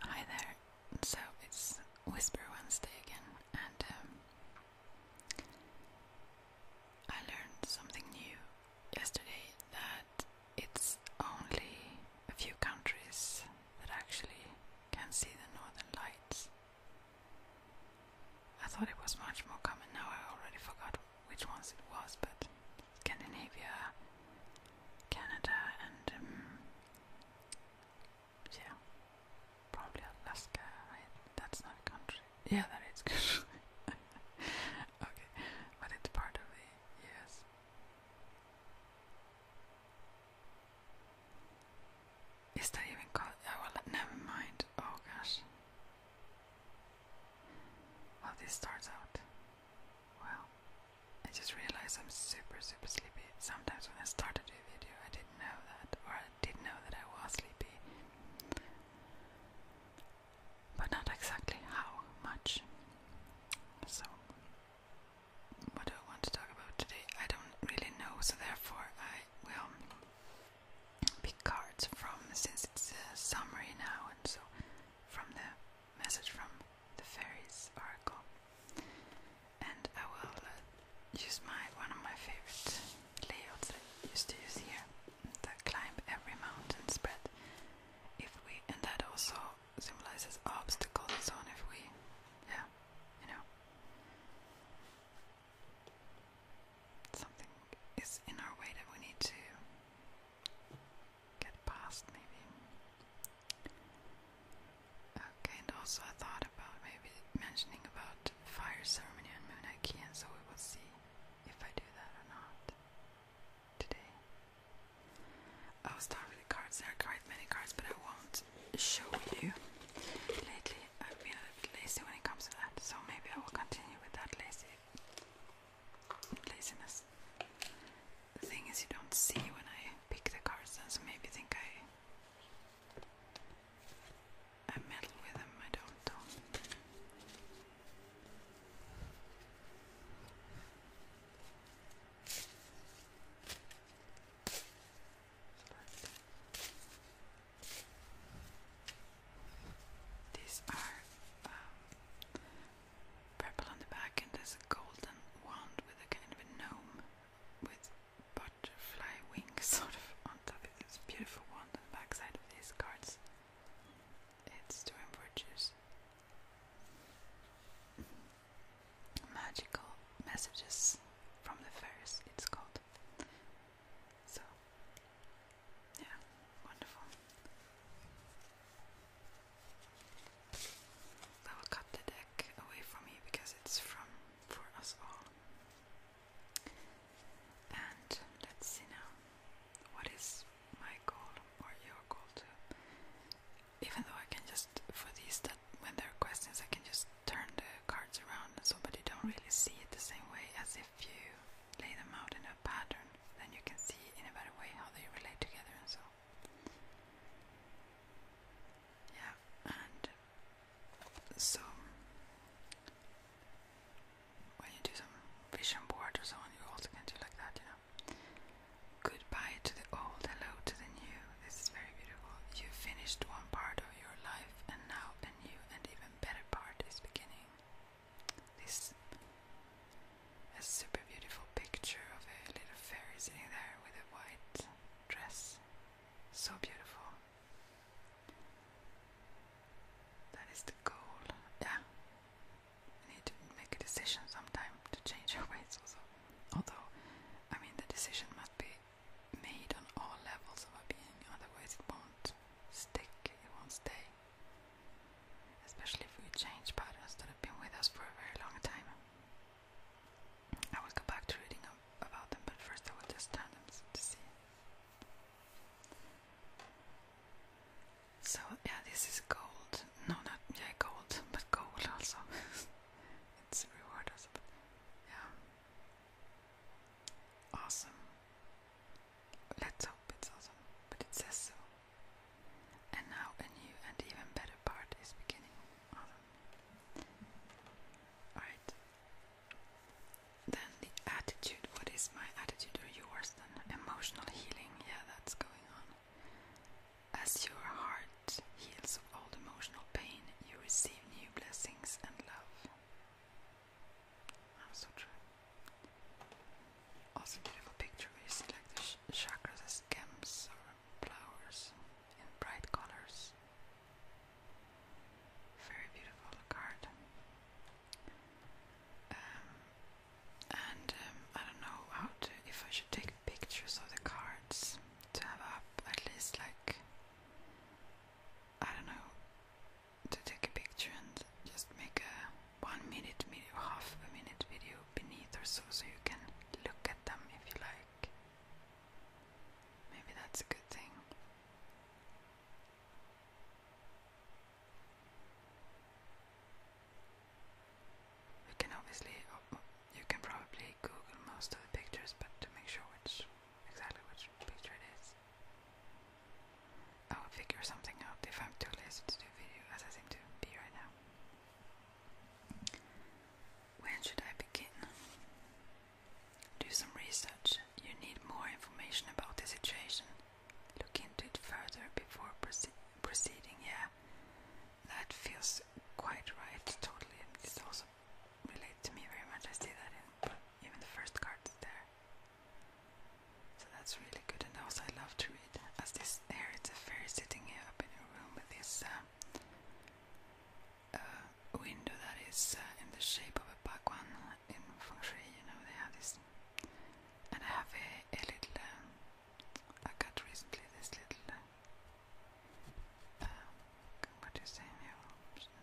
Hi there. So it's Whisper Wednesday again, and um, I learned something new yesterday that it's only a few countries that actually can see the northern lights. I thought it was much more common, now I already forgot which ones it was, but Scandinavia, Canada, and um, yeah, probably Alaska. that's not a country. Yeah, that is okay, but it's part of the U.S. Is that even called? Oh, well, never mind. Oh gosh. Well, this starts out. Well, I just realized I'm super, super sleepy. Sometimes when I started a video, I didn't know that, or I did know that I was sleepy, but not exactly how much. So, what do I want to talk about today? I don't really know, so therefore, I will pick cards from since it's uh, summer now, and so from the message from the fairies oracle, and I will uh, use my one of my favorite layouts that used to use here: the climb every mountain spread. If we, and that also symbolizes obstacle zone. If we, yeah, you know, something is in our way that we need to get past, maybe. Okay, and also I thought about maybe mentioning about fire ceremony on Moon and so we will see if I do that or not today. I'll start with the cards. There are quite many cards, but I won't show you. Lately, I've been a bit lazy when it comes to that, so maybe I will continue with that lazy laziness the thing is you don't see when I pick the cards then, so maybe think I I meddle with them, I don't These are um, purple on the back, and there's a golden wand with a kind of a gnome with butterfly wings sort of on top of this beautiful wand on the back side of these cards. It's doing virtues. Magical messages from the fairies, it's called. So, yeah, wonderful. That will cut the deck away from you because it's from for us all. And let's see now. What is my goal or your goal too? Even though I can just for these that when there are questions I can just turn the cards around so that you don't really see it the same way as if you lay them out in a pattern, then you can see in a better way how they relate together and so on. Yeah, and so when you do some vision board or so on, you also can do like that, you know. Goodbye to the old, hello to the new. This is very beautiful. You finished one part of your life, and now a new and even better part is beginning. This a super beautiful picture of a little fairy sitting there with a white dress. So beautiful. That is the goal. Yeah. I need to make a decision sometime to change our ways also. Although, I mean, the decision must be made on all levels of our being, otherwise, it won't stick, it won't stay. Especially if we change patterns that have been with us for a very long time. I will go back to reading about them, but first I will just turn them to see. So yeah, this is gold. No, not yeah, gold, but gold also. it's a reward also. yeah, awesome. Let's hope it's awesome, but it says so. And now a new and even better part is beginning. Awesome. Then the attitude. What is my attitude or yours then? Emotional healing. Yeah, that's going on. As your heart heals of all emotional pain, you receive new blessings and love. so true. Also, beautiful picture where see like the chakras as gems or flowers in bright colors. Very beautiful card. Um, and um, I don't know how to if I should take pictures of the cards to have up at least like I don't know to take a picture and just make a one minute, minute half a minute video beneath or so, so you can look at them if you like. Maybe that's a good thing. You can obviously, oh, you can probably Google most of the pictures, but to make sure which exactly which picture it is, I will figure something out if I'm too lazy to do video, as I seem to be right now. Where should I begin? Do some research. You need more information about the situation. Look into it further before proceeding. Yeah, that feels quite right. Totally. This also relates to me very much. I see that in even the first cards there. So that's really good. And also, I love to worried, as this there is a fairy sitting here up in a room with this uh, uh, window that is uh, in the shape of a bhagwan in feng shui. You know they have this, and I have a, little. I um, got recently this little. Um, what do you say?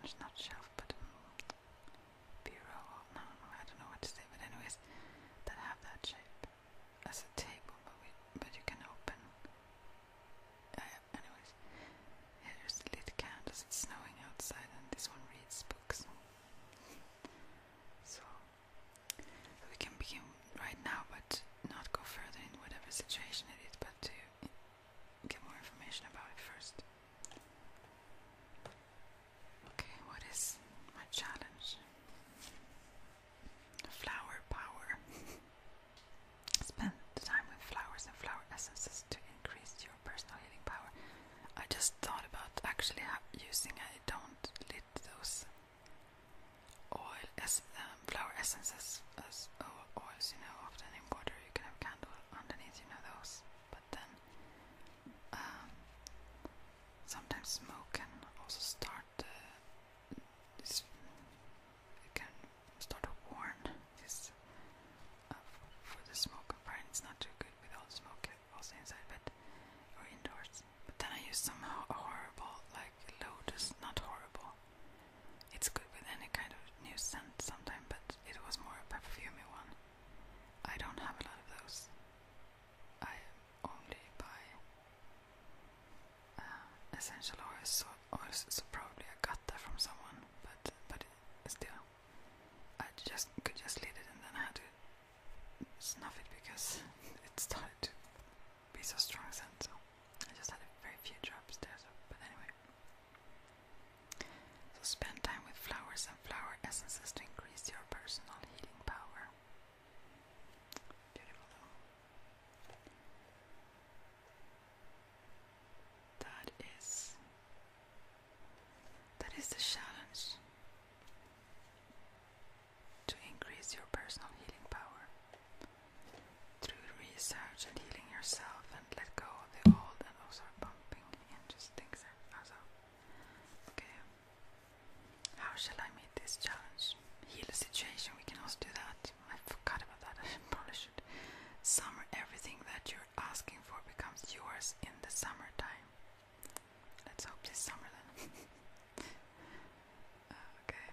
It's not shelf, but um, bureau. no, I don't know what to say. But anyways, that have that shape as a table, but we, but you can open. Uh, anyways, here's the lit candles. It's snowing outside, and this one reads books. So we can begin right now, but not go further in whatever situation it is, but to get more information about it first. Okay, what is my challenge? Flower power. Spend time with flowers and flower essences to increase your personal healing power. I just thought about actually using I don't lit those oil as um, flower essences as oils, you know, often in water you can have candle underneath, you know those. But then um, sometimes smoke can also start the uh, is it can start a warn is uh, for the smoke apparently it's not too good with all the smoke also inside but or indoors. But then I use some ho horrible like lotus not horrible. It's good with any kind of new scent sometimes, but it was more a perfumey one. I don't have a lot of those. I only buy uh, essential oils, so, so probably I got that from someone, but but still, I just could just leave it and then I had to snuff it because it started to be so strong scent, so I just had a very few drops there, so, but anyway. So spend time with flowers and flower essences to increase your personal healing power. That is that is the challenge to increase your personal healing power through research and healing yourself and let go of the old and also bumping and just things also. Okay. How shall I meet this challenge? Heal the situation, we can also do that. I forgot about that, I probably should. Summer, everything that you're asking for becomes yours in the summertime. Let's hope this summer then. Uh, okay.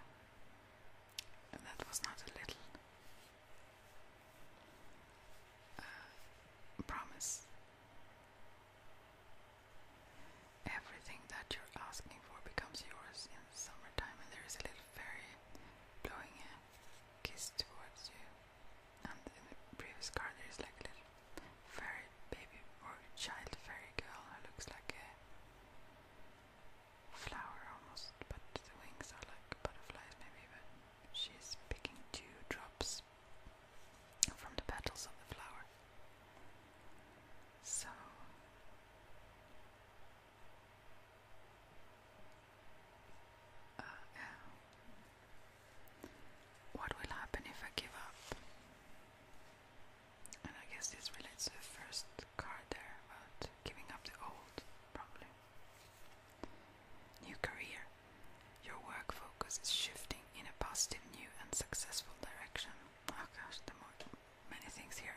that was not a little uh, promise. Everything that you're asking for becomes yours in the summertime, and there is a little fairy blowing a kiss towards you. And in the previous card, there is like a little fairy baby or child fairy girl who looks like a flower almost, but the wings are like butterflies, maybe. But she's picking two drops from the petals of the flower. So uh, What will happen if I give up? And I guess this relates to the first card there about giving up the old, probably. New career. Your work focus is shifting in a positive, new, and successful direction. Oh gosh, the more many things here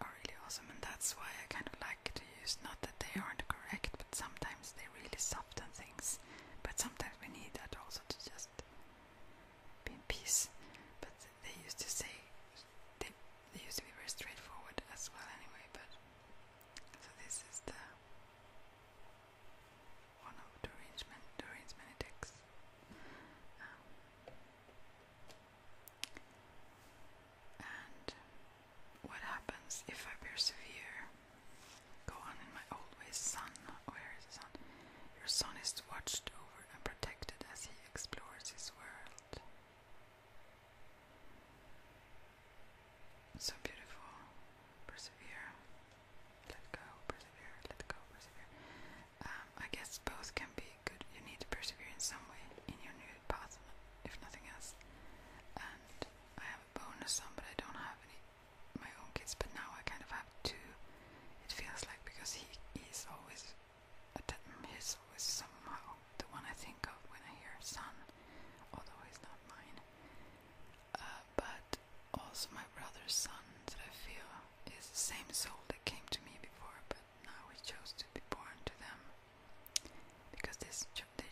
are really awesome, and that's why I kind of like to use not that they aren't correct, but sometimes they really soften things. But sometimes we need that also to just be in peace. But they used to say they, they used to be very straightforward as well, anyway. But so this is the one of the arrangement, the arrangement it takes. Um, and what happens if I persevere? Go on in my old ways, son. Oh, son. Your son is watched over and protected as he explores his world. So beautiful. Persevere. Let go, persevere, let go, persevere. Um, I guess both can be good. You need to persevere in some way in your new path, if nothing else. And I have a bonus on, but I don't have any my own kids. But now I kind of have two. It feels like because he is always, mm, he's always somehow the one I think of when I hear son, although he's not mine. Uh, but also my brother's son that I feel is the same soul that came to me before, but now we chose to be born to them because they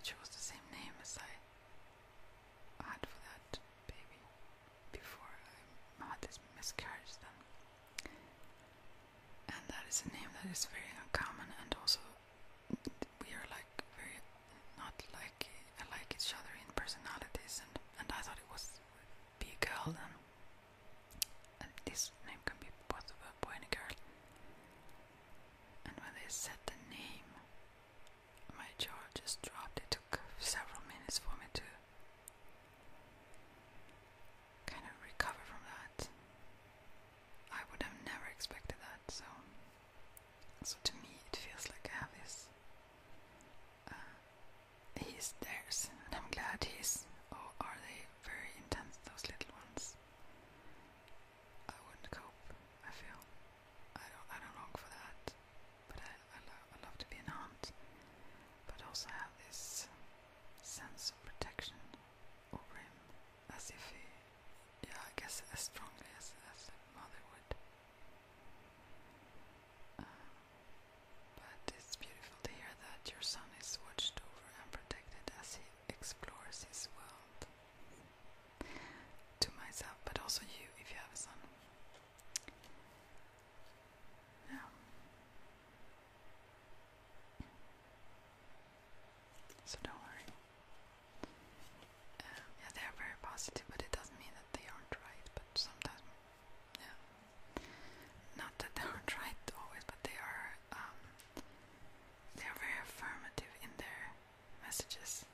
chose the same name as I had for that baby before I had this miscarriage then. And that is a name that is very uncommon and also we are like very not like like each other in personalities and I thought it was be a girl then. this name can be both a boy and a girl. And when they said the name, my jaw just dropped. It took several minutes for me to kind of recover from that. I would have never expected that, so so to me it feels like I have this uh, he's theirs, and I'm glad he's. Oh, are they very intense, those little ones? I wouldn't cope. I feel I don't. I don't long for that. But I, I, I love to be an aunt, but also have this sense of protection over him, as if he, yeah, I guess as strongly as as a mother would but it's beautiful to hear that your son is watched over and protected as he explores his world. To myself, but also you if you have a son. Yeah. So don't worry. Um, yeah, they are very positive, but it doesn't mean that they aren't right. But sometimes yeah. Not that they aren't right always, but they are. Um, they are very affirmative in their messages.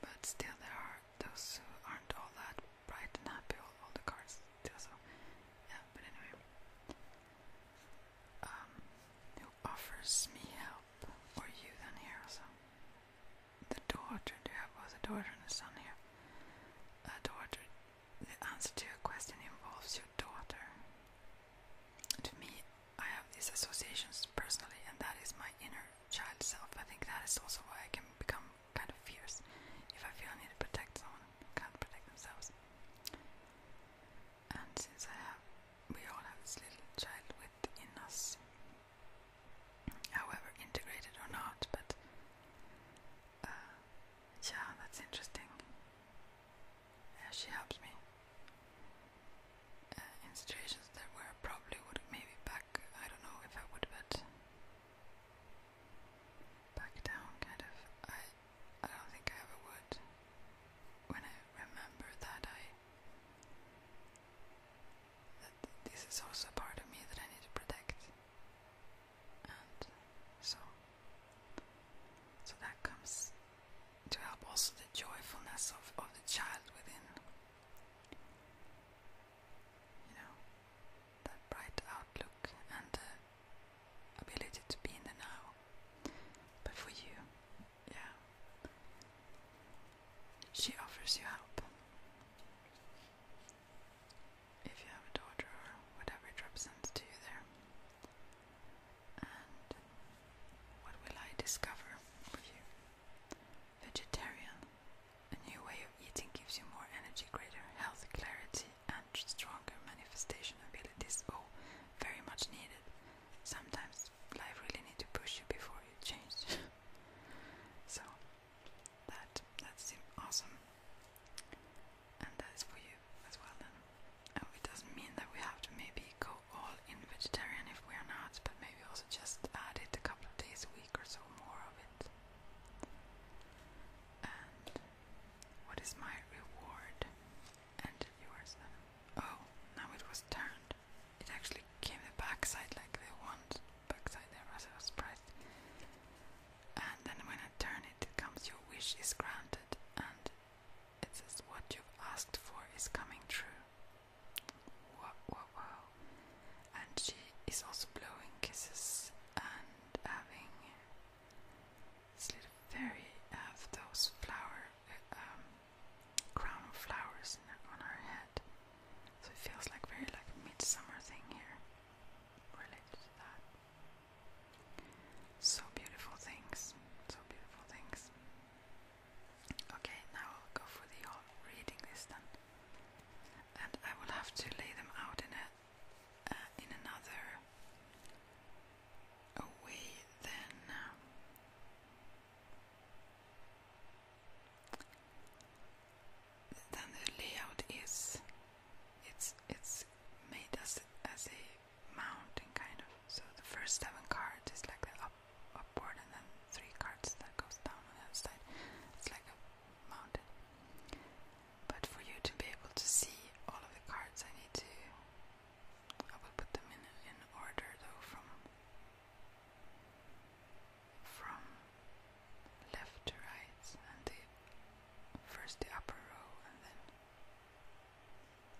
But still, there are those who aren't all that bright and happy. All, all the cards still, yeah. But anyway, um, who offers me help or you then here also? the daughter, do you have both a daughter and a son here? A daughter, the answer to your question involves your daughter. To me, I have these associations personally, and that is my inner child self. I think that is also why I can become kind of fierce. If I feel I need to protect someone can't protect themselves. And since I have, we all have this little child within us, however integrated or not, but uh, yeah, that's interesting. Yeah, she helps me uh, in situations that where probably would maybe back, I don't know if I would, but back down kind of. I, I don't think I ever would. When I remember that I this is also part of me that I need to protect. And so so that comes to help also the joyfulness of, of the child within. You know, that bright outlook and the ability to be in the now. But for you, yeah. She offers you help. If you have a daughter or whatever job sends you there. And what will I discover with you? Vegetarian. A new way of eating gives you more energy, greater health, clarity, and stronger manifestation abilities. Oh, very much needed. Sometimes life really needs to push you before you change. So that that's awesome, and that's for you as well. and it doesn't mean that we have to maybe go all in vegetarian if we are not, but maybe also just add it a couple of days a week or so more of it. And what is my reward? And yours Oh, now it was turned it actually came the backside like they want backside there was I was surprised. And then when I turn it it comes your wish is granted and it says what you've asked for is coming true. Wow wow wow. And she is also blowing kisses and having this little fairy have those flower uh, um, crown of flowers on her head. So it feels like very like a midsummer thing here related that. So beautiful things. So beautiful things. Okay, now I'll go for the reading list then. And I will have to lay them out in a uh, in another way then. Um, then the layout is it's it's made as as a mountain kind of. So the first seven cards is like the up upward, and then three cards that goes down on the side. It's like a mountain. But for you to be able to see all of the cards, I need to. I will put them in in order though from from left to right and the first the upper row and then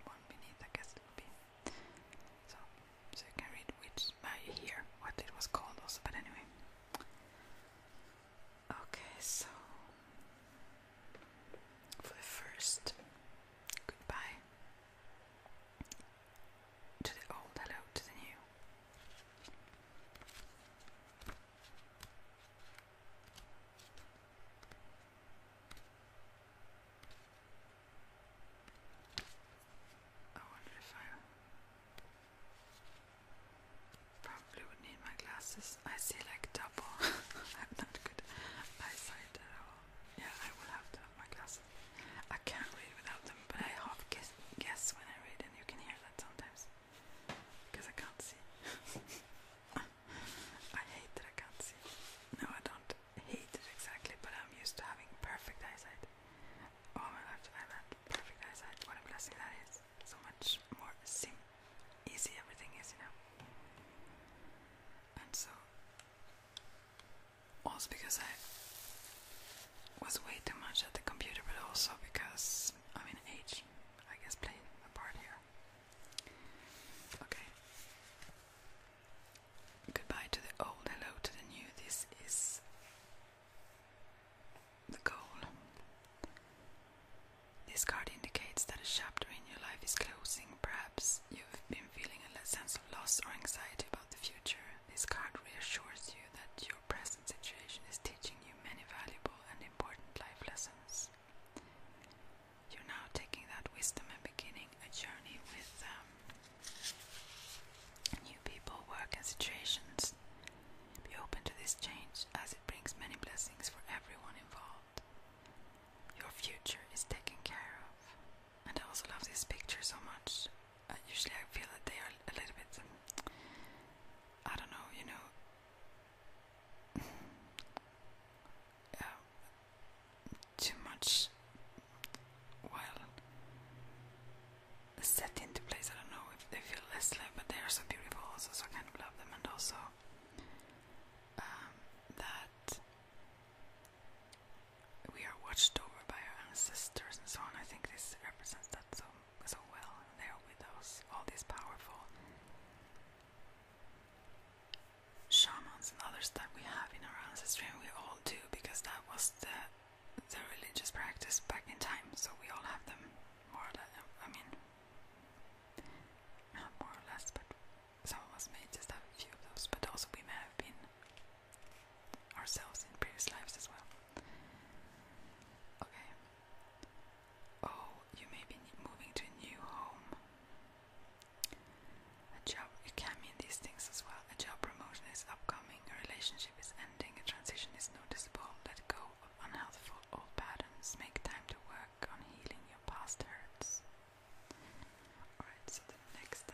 one beneath I guess it would be. So so you can read which by uh, here what it was called also but anyway. Okay so for the first goodbye to the old, hello to the new. Oh, I wonder if I probably would need my glasses. I see like double. I'm not good eyesight at all. Yeah, I will have to my glasses. I can't read without them, but I half guess, guess when I read, and you can hear that sometimes because I can't see. I hate that I can't see. No, I don't hate it exactly, but I'm used to having perfect eyesight. Oh, my life, I've had perfect eyesight. What am blessing that is! So much more sim easy everything is, you know. And so also because I was way too much at the computer, but also because I mean age, I guess, played a part here. Okay. Goodbye to the old, hello to the new. This is the goal. This card indicates that a chapter in your life is closing. Perhaps you've been feeling a sense of loss or anxiety about the future this card reassures you that your present situation is teaching you many valuable and important life lessons. You're now taking that wisdom and beginning a journey with um, new people, work, and situations. Be open to this change as it brings many blessings for everyone involved. Your future is taken care of. And I also love this picture so much. Uh, usually I feel that they are a little bit, um, I don't know, you know, um, too much, well, setting to place. I don't know if they feel less live, but they are so beautiful also, so I kind of love them. And also um, that we are watched over by our ancestors and so on. I think this represents that so so well. They are with us, all these powerful shamans and others that we have in our ancestry, and we all do because that was the the religious practice back in time. So we all have them, more or I mean, not more or less, but some of us may just have a few of those, but also we may have been ourselves in previous lives as well. Okay. Oh, you may be moving to a new home. A job, it can mean these things as well. A job promotion is upcoming, a relationship is ending, a transition is noticeable. Let go of unhealthful old patterns. Make time to work on healing your past hurts. Alright, so the next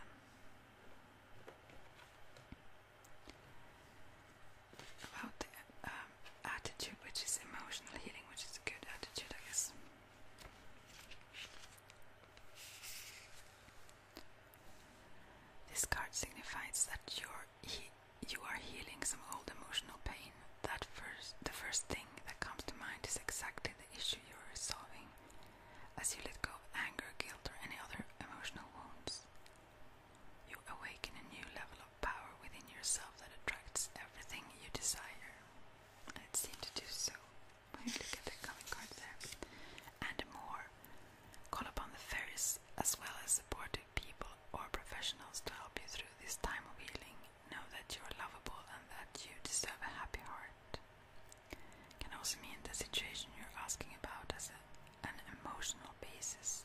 about the um, attitude, which is emotional healing, which is a good attitude, I guess. This card signifies that you're you are healing some old emotional pain. That first, the first thing that comes to mind is exactly the issue you're resolving. As you let go of anger, guilt, or any other emotional wounds, you awaken a new level of power within yourself that attracts everything you desire. It seems to do so look at the coming card there. And more, call upon the fairies as well as supportive people or professionals to help you through this time of healing. Know that you are lovable and that you deserve a happy heart. Can also mean the situation you're asking about as an emotional basis.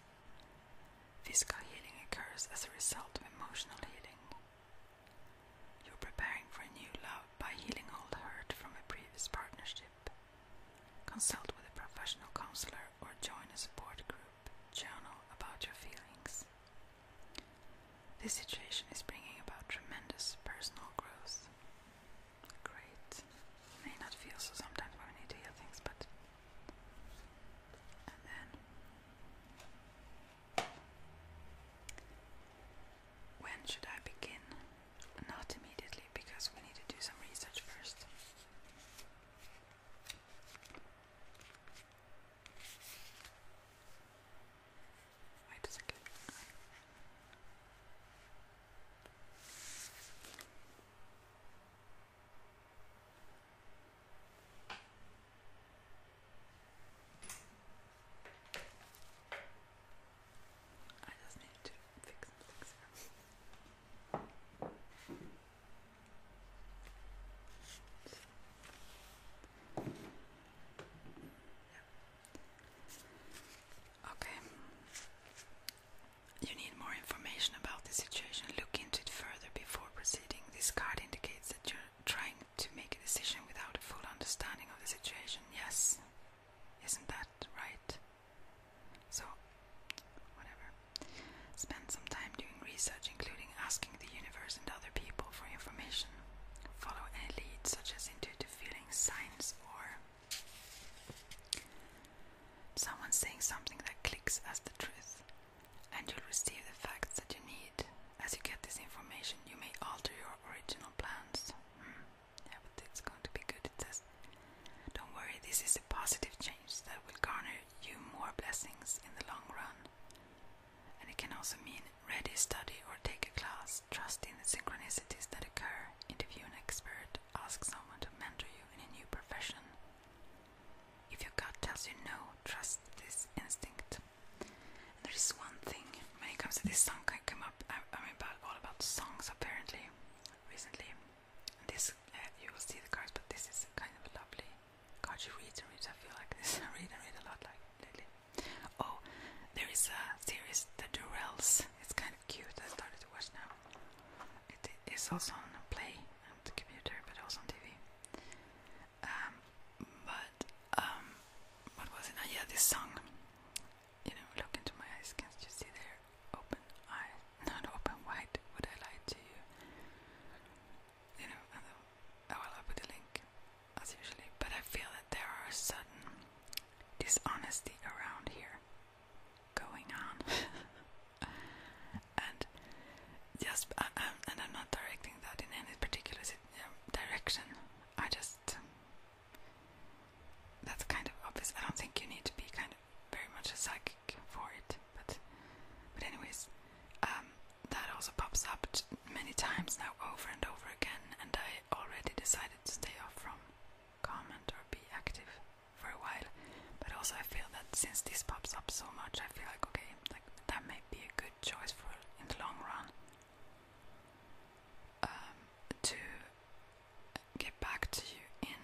Physical healing occurs as a result of emotional healing. You're preparing for a new love by healing old hurt from a previous partnership. Consult with a professional counselor or join a support group. Journal about your feelings. This situation is bringing about tremendous personal growth great. may not feel so sometimes when we need to hear things, but. And then. When should I begin? Not immediately, because we need to do some research first. Wait a second. I just need to fix some things here. Yeah. Okay. You need more information about the situation. Look into it further before proceeding. This card indicates that you're trying to make a decision without a full understanding of the situation. Yes. Isn't that right? So, whatever. Spend some time doing research, including asking the universe and other people for information. Follow any leads, such as intuitive feelings, signs, or Someone saying something that clicks as the truth, and you'll receive the facts that you need. As you get this information, you may alter your original plans. Mm. Yeah, but it's going to be good. It says, Don't worry, this is a positive change that will garner you more blessings in the long run. And it can also mean ready, study, or take a class. Trust in the synchronicities that occur. Interview an expert, ask someone to mentor you in a new profession. If your gut tells you no, trust this instinct. there is one thing when it comes to this song, I come up. I, am about all about songs apparently recently. this uh, you will see the cards, but this is kind of a lovely card. You read and read. I feel like this. I read and read a lot like lately. Oh, there is a series, The Durrells. It's kind of cute. I started to watch now. It is also on Play on the computer, but it was on TV. Um, but um, what was it? Oh, yeah, this song. You know, look into my eyes. Can't you see there? Open eye, not open wide. Would I lie to you? You know, I will. I will put a link as usually. But I feel that there are certain dishonesty around here going on. and just, uh, um, and I'm not directing that in any particular um, direction. I just, um, that's kind of obvious. I don't think you need to be kind of very much a psychic for it, but, but anyways, that also pops up many times now, over and over again, and I already decided to stay off from comment or be active for a while. But also, I feel that since this pops up so much, I feel like okay, like that might be a good choice for in the long run um, to get back to you in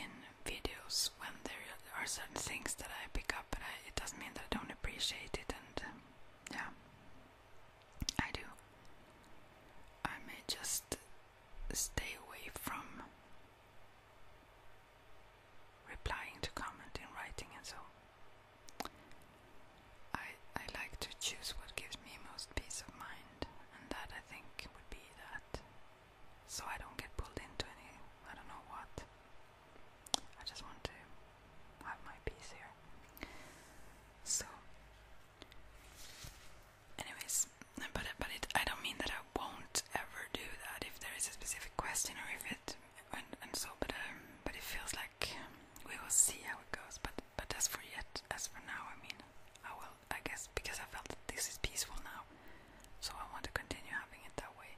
in videos when there are certain things that I pick up, but it doesn't mean that I don't appreciate it. And yeah, I do. I may just stay away from replying to comment in writing and so. I I like to choose what gives me most peace of mind, and that I think would be that. So I don't get pulled into any I don't know what. I just want to have my peace here. So, anyways, but but it, I don't mean that I won't ever do that if there is a specific question or if it and, and so. But um, but it feels like we will see how it goes. But but as for yet, as for now, I mean, I will. I guess because I felt that this is peaceful now, so I want to continue having it that way.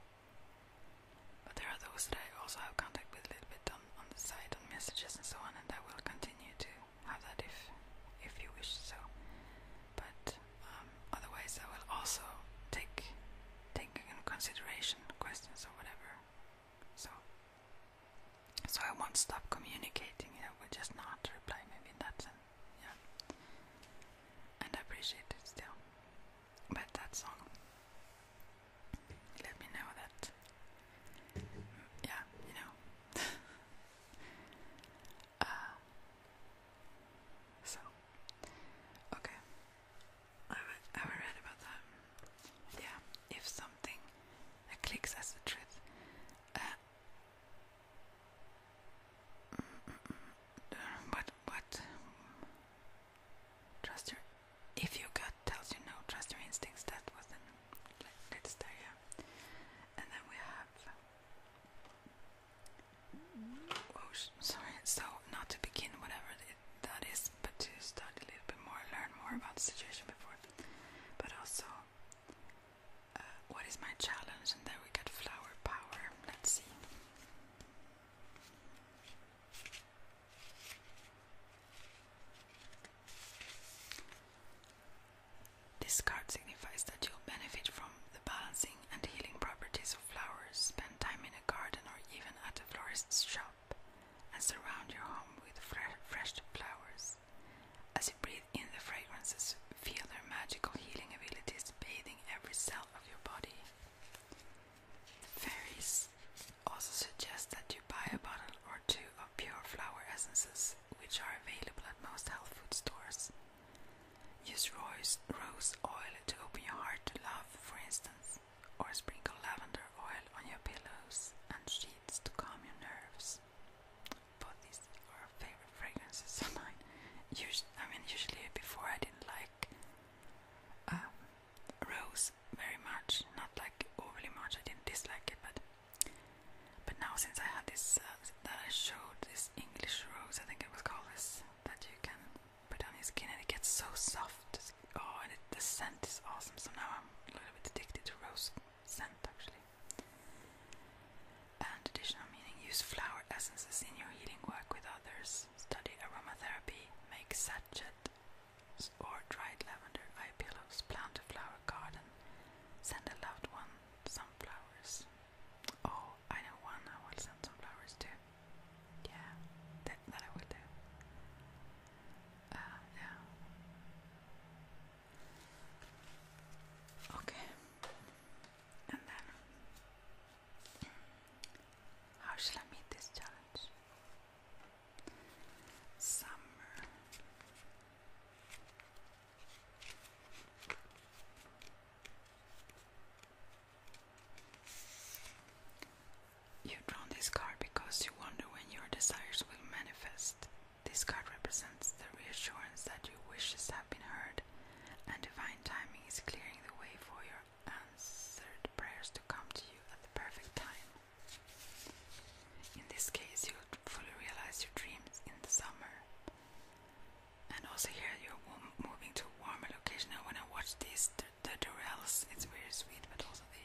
But there are those that I also have contact with a little bit on, the side, on messages and so on, and I will continue to have that if if you wish so. But um, otherwise, I will also take take in consideration questions or whatever. So so I won't stop communicating. I will just not reply. Maybe in that sense, yeah. And I appreciate it still. But that song, let me know that. Yeah, you know. Uh, so, okay. I have read about that. Yeah, if something clicks as the truth. Uh, Mm, mm, mm, mm Trust your if your gut tells you no, trust your instincts. That was the latest area, and then we have. Oh, sorry. So not to begin whatever that is, but to study a little bit more, learn more about the situation before, but also. Uh, what is my challenge? And there we get flower power. Let's see. This card signifies that you'll benefit from the balancing and healing properties of flowers. Spend time in a garden or even at a florist's shop and surround your home with fresh flowers. As you breathe in the fragrances, feel their magical healing abilities bathing every cell of your body. Fairies also suggest that you buy a bottle or two of pure flower essences, which are available at most health food stores. Use rose, rose oil to open your heart to love, for instance, or sprinkle lavender oil on your pillows and sheets to calm your nerves. But these are favorite fragrances of mine. I mean, usually before I didn't like uh, rose very much, not like overly much. I didn't dislike it, but but now since I had this uh, that I showed this English rose, I think it was called this that you can put on your skin and it gets so soft. Oh, and the scent is awesome. So now I'm a little bit addicted to rose scent actually. And additional meaning: use flower essences in your healing work with others. Study aromatherapy. Make sachet or dried lavender eye pillows, plant a flower garden, send a loved one some flowers. Oh, I know one I will send some flowers too. Yeah, that, that I will do. Uh, yeah. Okay. And then, how shall I meet this challenge? Summer. You drawn this card because you wonder when your desires will manifest. This card represents the reassurance that your wishes have been heard, and divine timing is clearing the way for your answered prayers to come to you at the perfect time. In this case, you will fully realize your dreams in the summer. And also hear your are moving to a warmer location. And when I watch these, the, the it's very sweet, but also the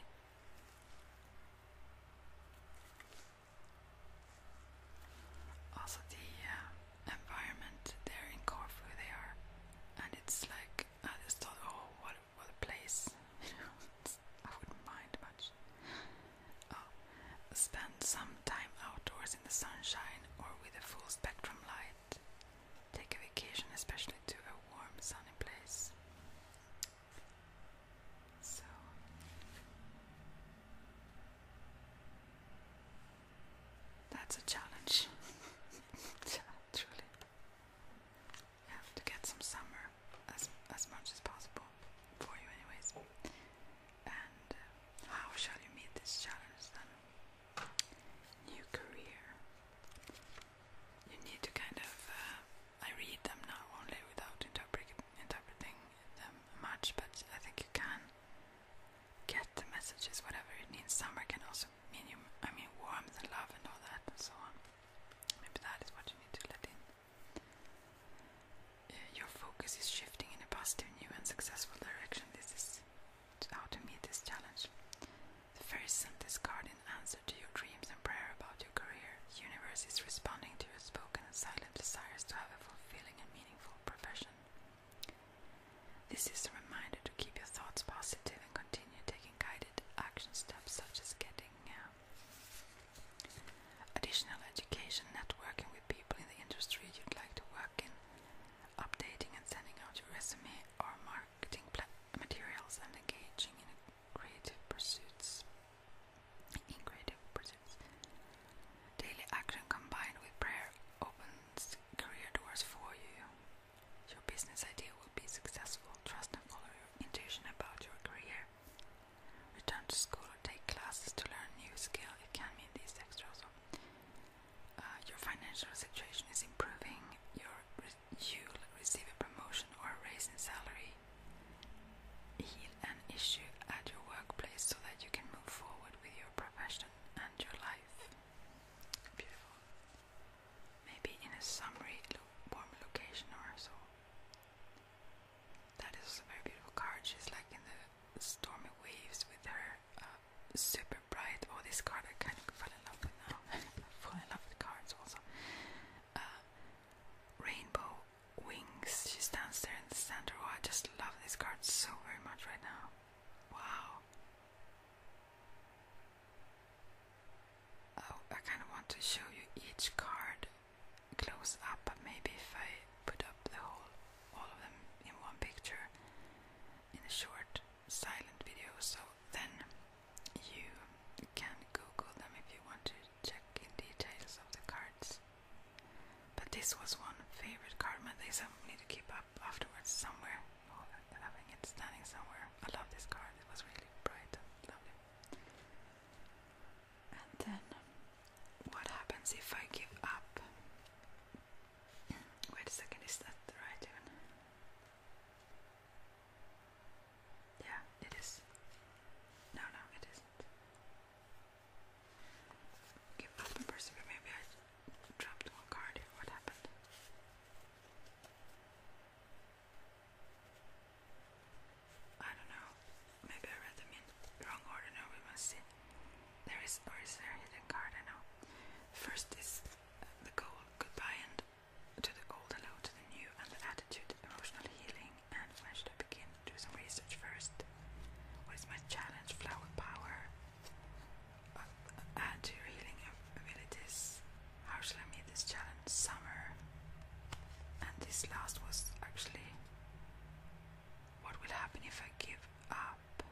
also the uh, environment there in Corfu they are, and it's like I just thought, oh, what what place. I wouldn't mind much. Oh, spend some time outdoors in the sunshine or with a full spectrum light. Take a vacation, especially to a warm, sunny place. So. That's a challenge. yeah, truly to get some summer as as much as possible for you, anyways. And uh, how shall you meet this challenge then? New career. You need to kind of. Uh, I read them now only without interpret interpreting them much, but I think you can get the messages, whatever it means. Summer can also. I mean warmth and love and all that and so on. Maybe that is what you need to let in. Uh, your focus is shifting in a positive, new, and successful direction. This is how to meet this challenge. The fairy sent this card in answer to your dreams and prayer about your career. The universe is responding to your spoken and silent desires to have a fulfilling and meaningful profession. This is a reminder to keep your thoughts positive and continue taking guidance action steps such as getting um, additional education, networking with people in the industry you'd like to work in, updating and sending out your resume or marketing materials, and engaging In creative pursuits, daily action combined with prayer opens career doors for you. Your business idea will be successful. Trust and follow your intuition about your career. Return to school or take classes to learn new skill. It can mean these extra also. Uh, your financial situation is improving. you'll receive a promotion or raise in salary. Heal an issue at your workplace so that you can move forward with your profession and your life. Beautiful maybe in a summery lo location or so. That is a very beautiful card. She's like in the stormy waves with her uh, super bright. Oh, this card I kind of fell in love with now. fell in love with cards also. Uh, rainbow wings. She stands there in the center. Oh, I just love this card so very much right now. Wow. Oh, I kind of want to show you each card close up, but maybe if I put up the whole, all of them in one picture in a short, silent video, so then you can Google them if you want to check in details of the cards. But this was one favorite card, and they some need to keep up afterwards somewhere having it standing somewhere. I love this card, it was really bright and lovely. And then, what happens if I give up? Wait a second, is that the right one? Yeah, it is. No, no, it isn't. Give up and persevere. Maybe I dropped one card. What happened? I don't know. Maybe I read them in wrong order. Now we must see. There is, or is there hidden card? I know. First is the goal, goodbye and to the old, hello to the new, and the attitude, emotional healing, and when should I begin? Do some research first. What is my challenge? Flower power add your healing abilities. How shall I meet this challenge? Summer. And this last was actually what will happen if I give up?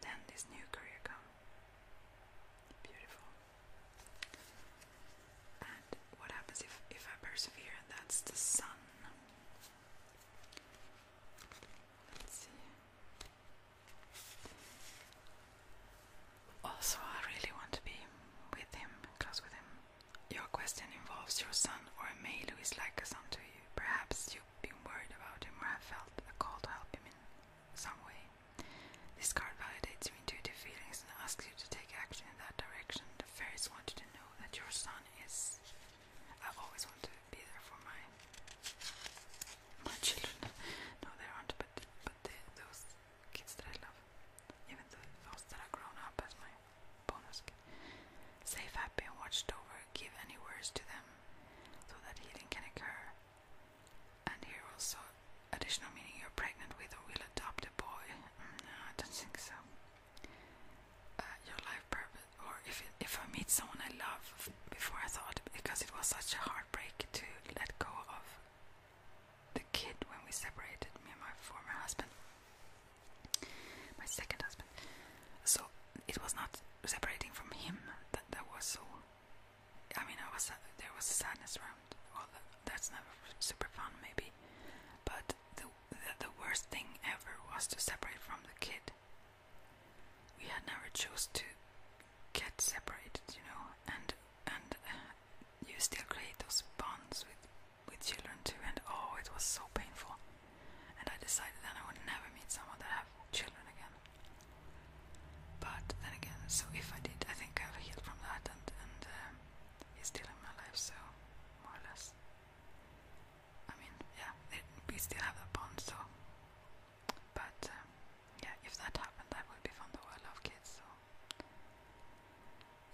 Then this new career comes. Beautiful. And what happens if, if I persevere? And that's the sun. Let's see. Also, I really want to be with him, close with him. Your question involves your son or a male who is like a son to you. Perhaps you've been worried about him or have felt a call to help him in some way. This card validates your intuitive feelings and asks you to take action in that direction. The fairies want you to know that your son is. I've always wanted be there for my my children. No, they aren't, but but the, those kids that I love, even the, those that have grown up as my bonus kids, safe, happy, and watched over. Give any words to them, so that healing can occur. And here also, additional meaning: you're pregnant with or will adopt a boy. Mm, no, I don't think so. Uh, your life purpose, or if if I meet someone I love before I thought because it was such a hard heartbreak to let go of the kid when we separated, me and my former husband, my second husband. So it was not separating from him that was so. I mean, I was uh, there was sadness around. Well, that's never super fun, maybe. But the the worst thing ever was to separate from the kid we had never chose to get separated, you know, and and uh, you still create those bonds with with children too. And oh, it was so painful. And I decided then I would never meet someone that have children again. But then again, so if I did, I think I've healed from that, and and um, uh, he's still in my life, so more or less. I mean, yeah, we still have that bond, so but um, yeah, if that happened, that would be fun though. I love kids, so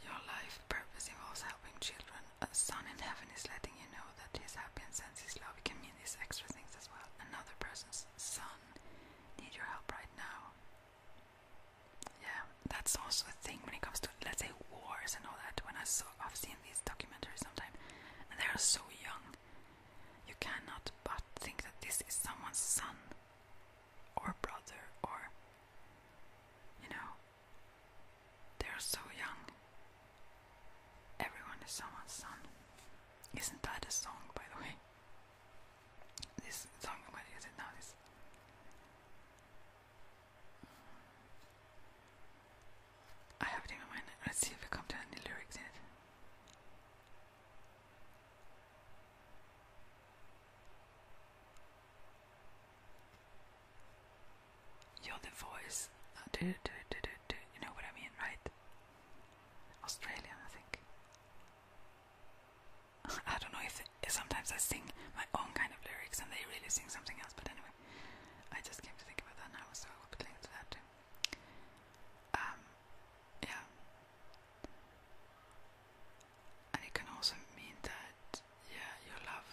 your life purpose involves helping children. A son in heaven is letting you know that his happy and sends his love. It can mean these extra things as well. Another person's son need your help right now. Yeah, that's also a thing when it comes to let's say wars and all that. When I saw, I've seen these documentaries sometime, and they are so young. You cannot but think that this is someone's son or brother or you know they're so young. Everyone is someone's son. Isn't that a song by the way? This song what is it now this I have it in my mind. Let's see if we come to any lyrics in Yo, the voice. do, do, do, do, do. You know what I mean, right? Australian, I think. I don't know if sometimes I sing my own kind of lyrics and they really sing something else, but anyway, I just came to think about that now, so I will be linked to that too. Um, yeah. And it can also mean that, yeah, you love,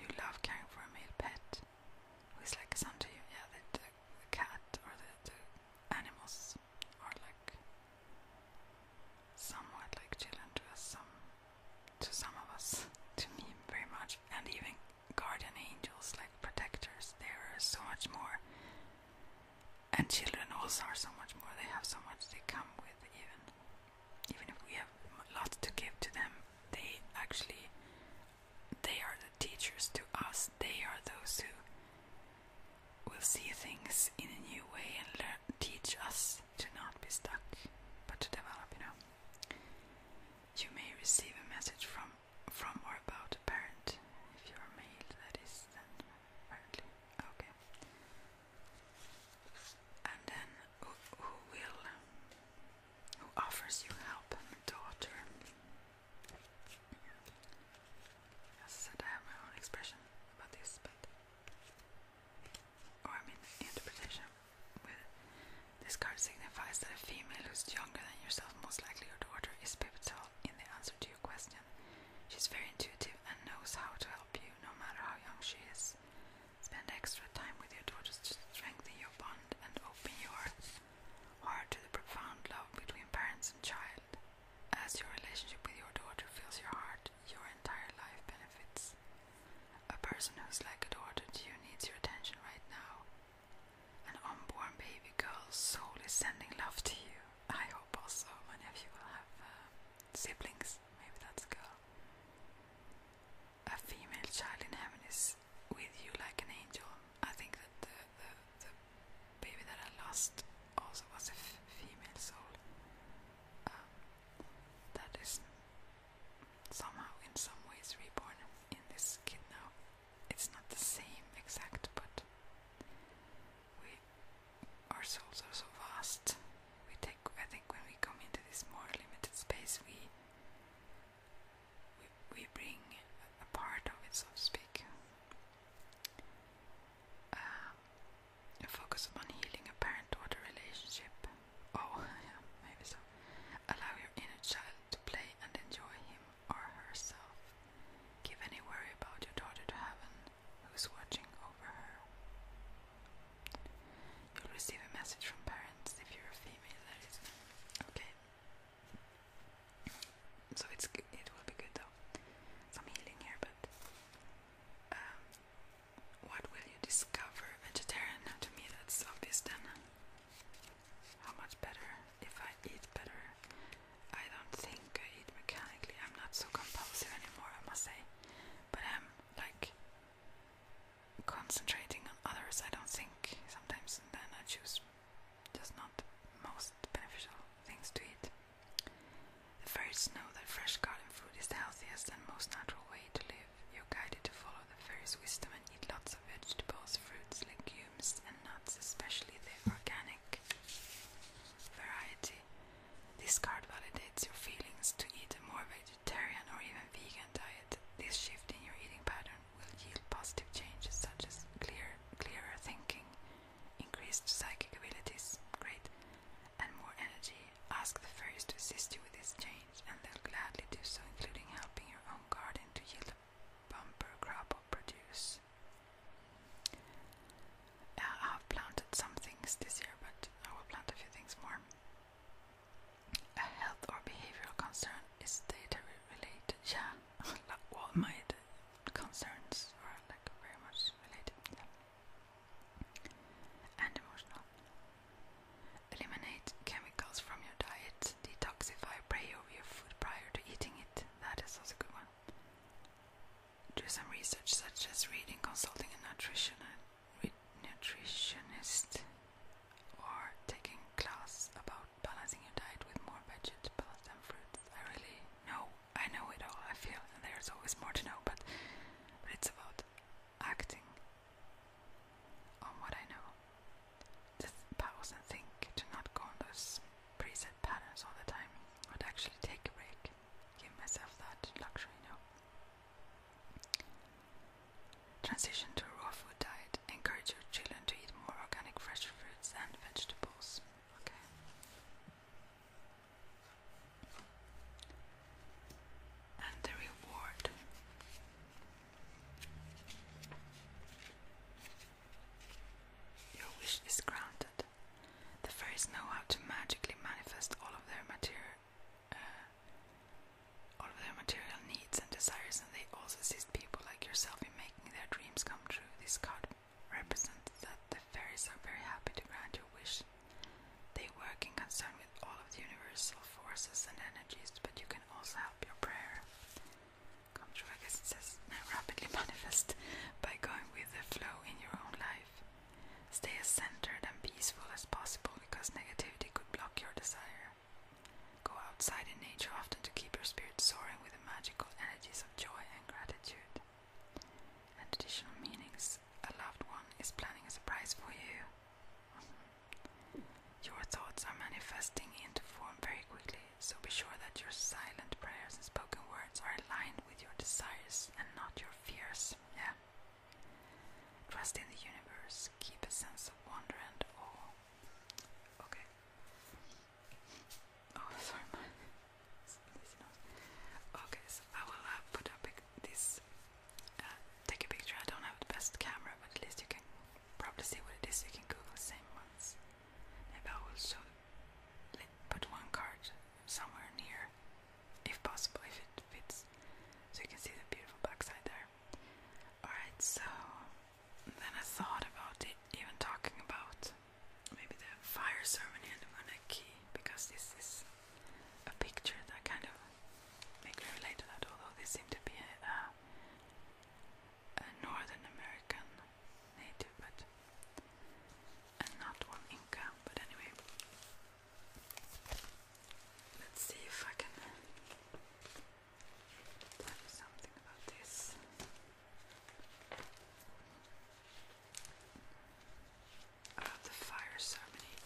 you love caring for a male pet, who is like a son to you. Yeah, the, the, the cat or the, the animals are like somewhat like children to us, some to some of us, to me very much, and even guardian angels, like protectors, they are so much more. And children also are so much more. They have so much they come with, even even if we have lots to give to them. They actually, they are the teachers to us. They are those who will see things in a new way and teach us to not be stuck, but to develop. You know. You may receive a message from from or about a parent. If you're male, that is then apparently okay. And then who, who will who offers you help? daughter. As I said, I have my own expression about this, but or I mean interpretation with this card signifies that a female who's younger than yourself, most likely your daughter, is pivotal in the answer to your question. She's very intuitive and knows how to help you, no matter how young she is. Spend extra time with your daughter to strengthen your bond and open your heart to the profound love between parents and child. As your relationship with your daughter fills your heart, your entire life benefits. A person who's like a daughter to you needs your attention right now an unborn baby girl soul sending love to you. I hope also many of you will have uh, siblings. Maybe that's a girl. A female child in heaven is with you like an angel. I think that the, baby that I lost also was a female soul. Um, that is somehow, in some ways, reborn in this kid now it's not the same exact, but we our souls are so vast. We take I think when we come into this more limited space we we, we bring a part of it so to speak. Um, focus upon healing a parent daughter relationship. Oh yeah, maybe so. Allow your inner child to play and enjoy him or herself. Give any worry about your daughter to heaven, who's watching over her. You'll receive a message from parents if you're a female, that is. Okay. So it's it will be good though. Some healing here, but um, what will you discover? Vegetarian to me, that's obvious then. How much better if I eat better? I don't think I eat mechanically. I'm not so compulsive anymore, I must say. But I'm like concentrating on others. I don't think sometimes, and then I choose just not most beneficial things to eat. The fairies know that fresh garden food is the healthiest and most natural way to live. You're guided to follow the fairies' wisdom and eat lots vegetables, fruits, legumes, and nuts, especially the organic variety. This card validates your feelings to eat a more vegetarian or even vegan diet. This shift in your eating pattern will yield positive changes such as clear, clearer thinking, increased psychic abilities, great, and more energy. Ask the fairies to assist you with this change, and they'll gladly do so, including helping your own garden to yield bumper crop will produce. Uh, I have planted some things this year, but I will plant a few things more. A health or behavioral concern is data related. Yeah, all my concerns are like very much related. Yeah. And emotional. Eliminate chem chemicals from your diet. Detoxify, pray over your food prior to eating it. That is also a good one. Do some research, such as reading, consulting a nutritionist, or taking class about balancing your diet with more vegetables and fruits. I really know, I know it all. I feel and there's always more to know, but, but it's about acting on what I know just pause and think, to not go on preset patterns all the time, but actually take a break, give myself that luxury, you Transition to a raw food diet. Encourage your children to eat more organic fresh fruits and vegetables. Okay. And the reward. Your wish is granted. The fairies know how to magically manifest uh, all of their material, needs and desires, and they also assist people like yourself in making their dreams come true. This card represents that the fairies are very happy to grant your wish. They work in concert with all of the universal forces and energies, but you can also help your prayer come true. I guess it says rapidly manifest by going with the flow in your own life. Stay as centered and peaceful as possible because negativity could block your desire. Go outside in nature often to keep your spirit soaring with the magical energies of joy and gratitude. And additional meanings a loved one is planning a surprise for you. Your thoughts are manifesting into form very quickly, so be sure that your silent prayers and spoken words are aligned with your desires and not your fears. Yeah. Trust in the universe, keep a sense of wonder and awe. Okay. Oh, sorry, Okay, so I will uh, put up this. Uh, take a picture. I don't have the best camera, but at least you can Probably see what it is, you can Google the same ones. Maybe I will put one card somewhere near, if possible, if it fits, so you can see the beautiful backside there. Alright, so then I thought about even talking about maybe the fire ceremony and the monarchy, because this is a picture that kind of make me relate to that, although this seemed to be a uh, a Northern American native, but not one Inca. But anyway, let's see if I can tell something about this. About the fire ceremony.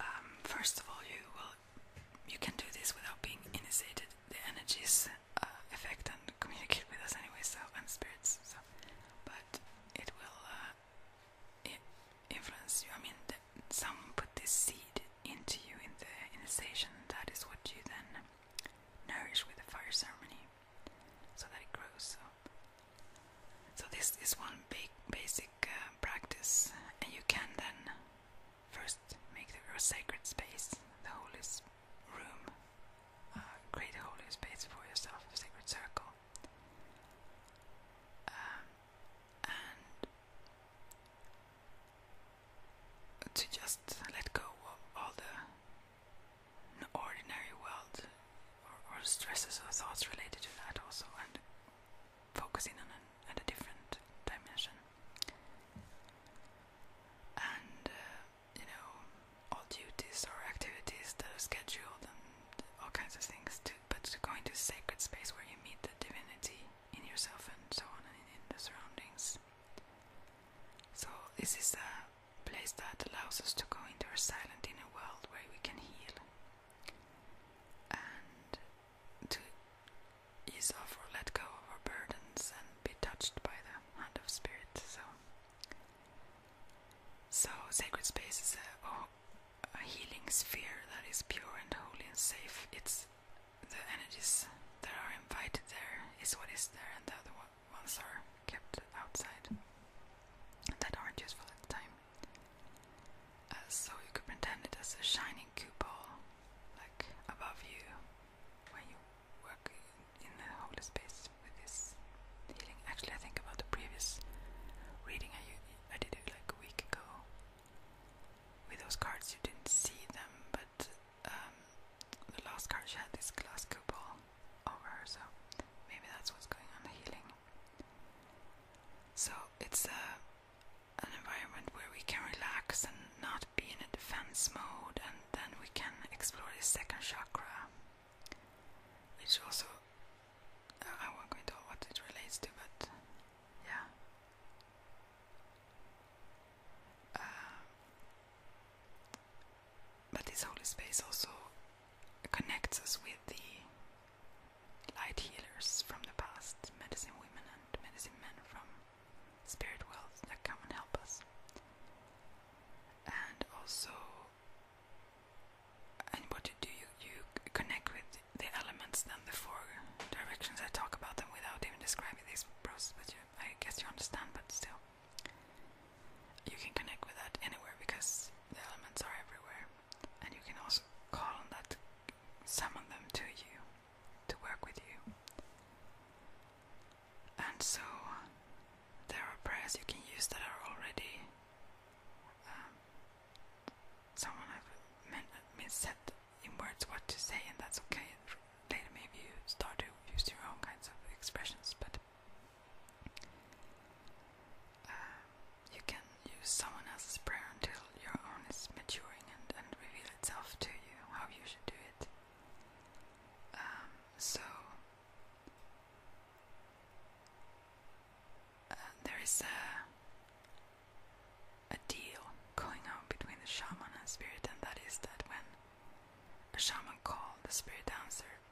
Um, first of all, you will you can do this without being initiated. The energies affect uh, and communicate with us anyway, so and spirits. So, but it will uh, influence you. I mean, the, some put this seed into you in the initiation. That is what you then nourish with the fire ceremony, so that it grows. So, so this is one big basic. Uh, practice, and you can then first make the, your sacred space, the holy room, uh, create a holy space for yourself, a sacred circle. Um, and to just let go of all the ordinary world or, or stresses or thoughts related to that also and focusing on a different dimension. And uh, you know, all duties or activities that are scheduled and all kinds of things. To, but to go into sacred space where you meet the divinity in yourself and so on, and in the surroundings. So this is a place that allows us to go into our silent inner world where we can heal. And to ease off or let go of our burdens and be touched by the hand of spirit. So, so sacred space is a, oh, a healing sphere that is pure and holy and safe. It's the energies that are invited there is what is there, and the other ones are kept outside that aren't useful at the time. Uh, so you could pretend it as a shining cupola, like above you when you work in the whole space with this healing. Actually, I think about the previous reading I, did it like a week ago. With those cards, you didn't see them, but um, the last card she had this glass cupola over so maybe that's what's going on the healing. So it's a an environment where we can relax and not be in a defense mode, and then we can explore the second chakra, which also uh, I won't go into what it relates to, but yeah. Uh, but this holy space also connects us with the light healers from the past, medicine women and medicine men from spirit worlds that come and help us. And also, and what do, you, you connect with the elements, then the four directions. I talk about them without even describing this process, but you, I guess you understand, but still. You can connect with that anywhere because the elements are everywhere, and you can also call on that summon them to you to work with you. And so there are prayers you can use that are already um, someone has, meant, meant said in words what to say, and that's okay. Later, maybe you start to use your own kinds of expressions, but. Uh, you can use someone else's prayer until your own is maturing and, and reveal itself to you how you should do it. Um, so, uh, there is a, a deal going on between the shaman and spirit, and that is that when a shaman calls, the spirit answers,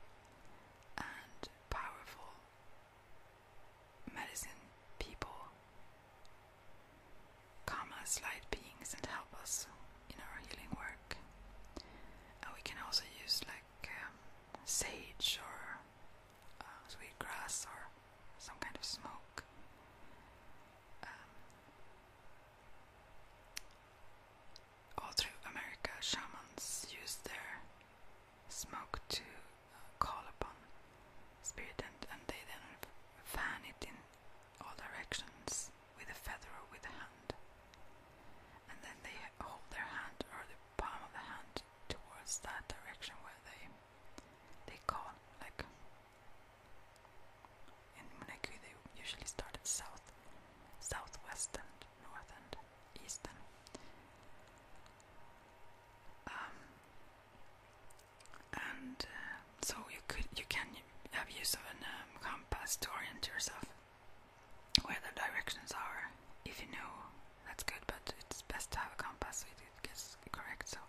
and powerful medicine people, commas, light beings, and help us in our healing work. we can also use like um, sage or uh, sweet grass or some kind of smoke. Um, all through America, shamans use their smoke to uh, call upon spirit, and, they then fan it in all directions with a feather or with a hand. And then they hold their hand or the palm of the hand towards that direction where they they call like in Monaco they usually start at south, southwest and north and east um, and uh, so you could you can have use of a um, compass to orient yourself where the directions are. If you know, that's good, but it's best to have a compass so it gets correct. So,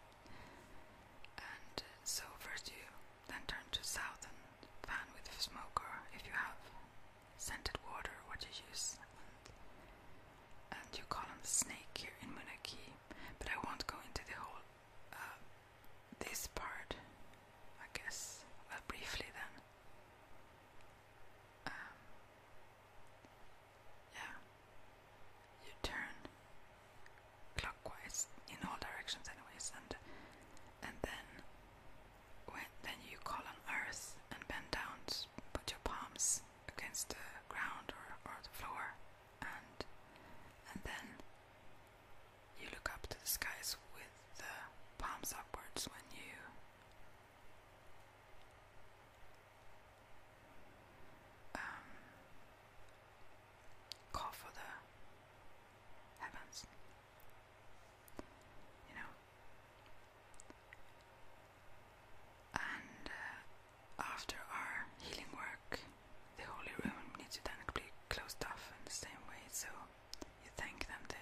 and uh, so first you then turn to south and fan with smoke, or if you have scented water, what you use and you call him Snake here in Munaki, but I won't go into the whole uh, this part, I guess, well, uh, briefly then. Um, yeah, you turn clockwise in all directions, anyways, and and then when then you call on Earth and bend down, put your palms against the ground or, or the floor and and then you look up to the skies with the palms upwards when you um, call for the heavens. You know, and uh, after our healing work, the holy room needs to then be closed off in the same way. So you thank them to,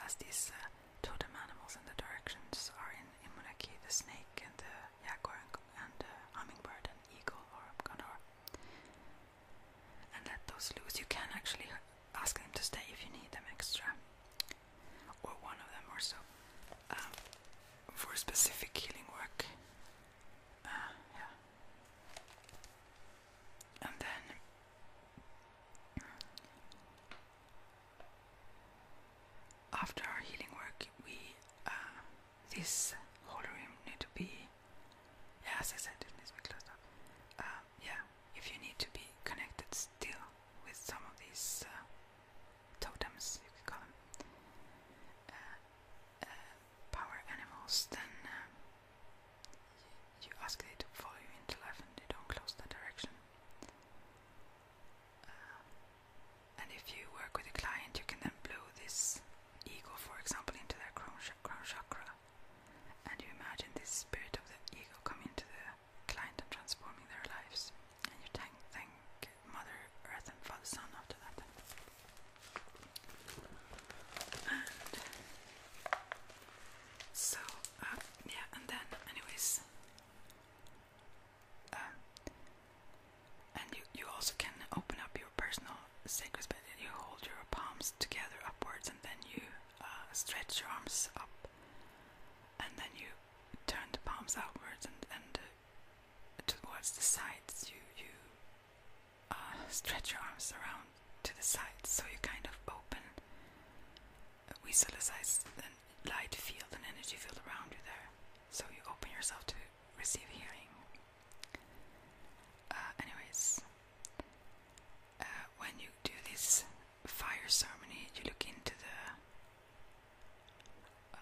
as these uh, totem animals and the directions are in, in Munaki, the snake and the jaguar and, and uh, hummingbird and eagle or condor. And let those loose. You can actually ask them to stay if you need them extra or one of them or so, um, for specific healing work. Uh, yeah. And then after our healing work, we uh, this whole room need to be. Yeah, as I said, it needs to be um, yeah, if you need to be connected still with some of these uh, totems, you could call them, uh, uh, power animals, then uh, you, ask them to follow you into life and they don't close that direction. and if you work with a client, you can then blow this eagle, for example, into their crown, crown chakra, and you imagine this spirit of the eagle come into the client and transforming their lives. And you thank, Mother Earth and Father Sun after that. so, uh, yeah, and then, anyways, um, and you, you also can open up your personal sacred space. You hold your palms together upwards, and then you uh, stretch your arms up, and then you turn the palms outwards and, and uh, towards the sides. You you uh, stretch your arms around to the sides, so you kind of open. We Visualize the light field and energy field around you there, so you open yourself to receive healing. Uh, anyways, uh, when you do this fire ceremony, you look into the um,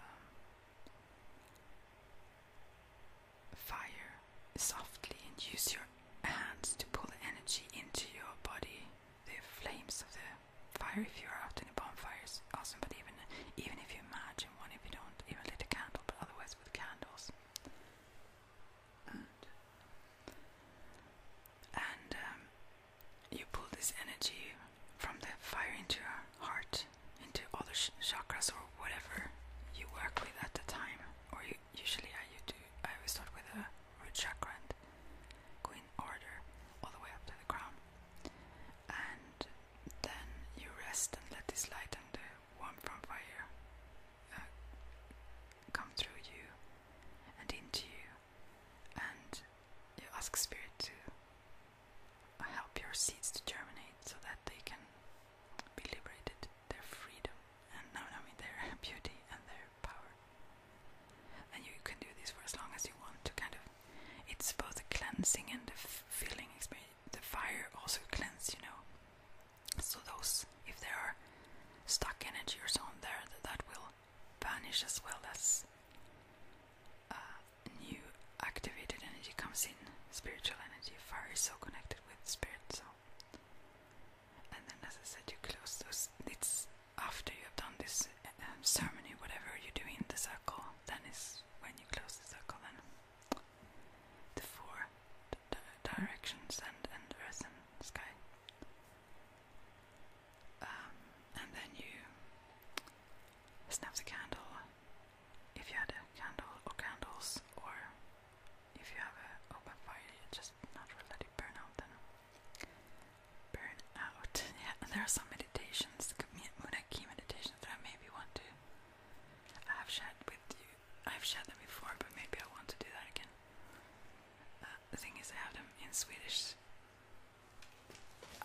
fire softly and use your hands to pull the energy into your body. The flames of the fire, if you're out in a bonfire, is awesome, but even, even if you imagine one, if you don't even lit a candle, but otherwise with candles. And, um, you pull this energy from the fire into your heart, into other sh chakras or whatever you work with at the time. Or usually I you do. I start with a root chakra and go in order all the way up to the crown, and then you rest and let this light and the warmth from fire uh, come through you and into you, and you ask spirit to help your seeds to germinate so that they can be liberated, their freedom, and no, I mean their beauty and their power. And you can do this for as long as you want to. Kind of, it's both a cleansing and a feeling experience. The fire also cleans, you know. So those, if there are stuck energy or so on there, that, that will vanish as well as uh, new activated energy comes in. Spiritual energy. Fire is so connected with spirit, so. And then, as I said, you close those. It's after you have done this um, ceremony, whatever you do in the circle, then is when you close the circle. Then the four directions and and earth and sky. Um, and then you snap the candle if you had a candle or candles, or if you have an open fire, you just naturally burn out. Then burn out. Yeah, there are some meditations, Munaki meditations that I want to. have shared with you. I've shared them before, but maybe I want to do that again. Uh, the thing is, I have them in Swedish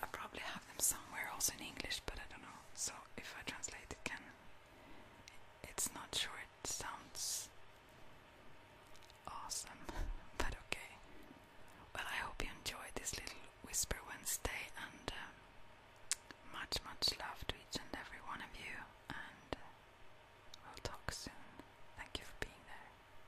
I probably have them somewhere also in English, but I don't know. So if I translate it, can it's not sure it sounds awesome, but okay. Well, I hope you enjoyed this little Whisper Wednesday, and um, much, much love to each and every one of you. And uh, we'll talk soon. Thank you for being there.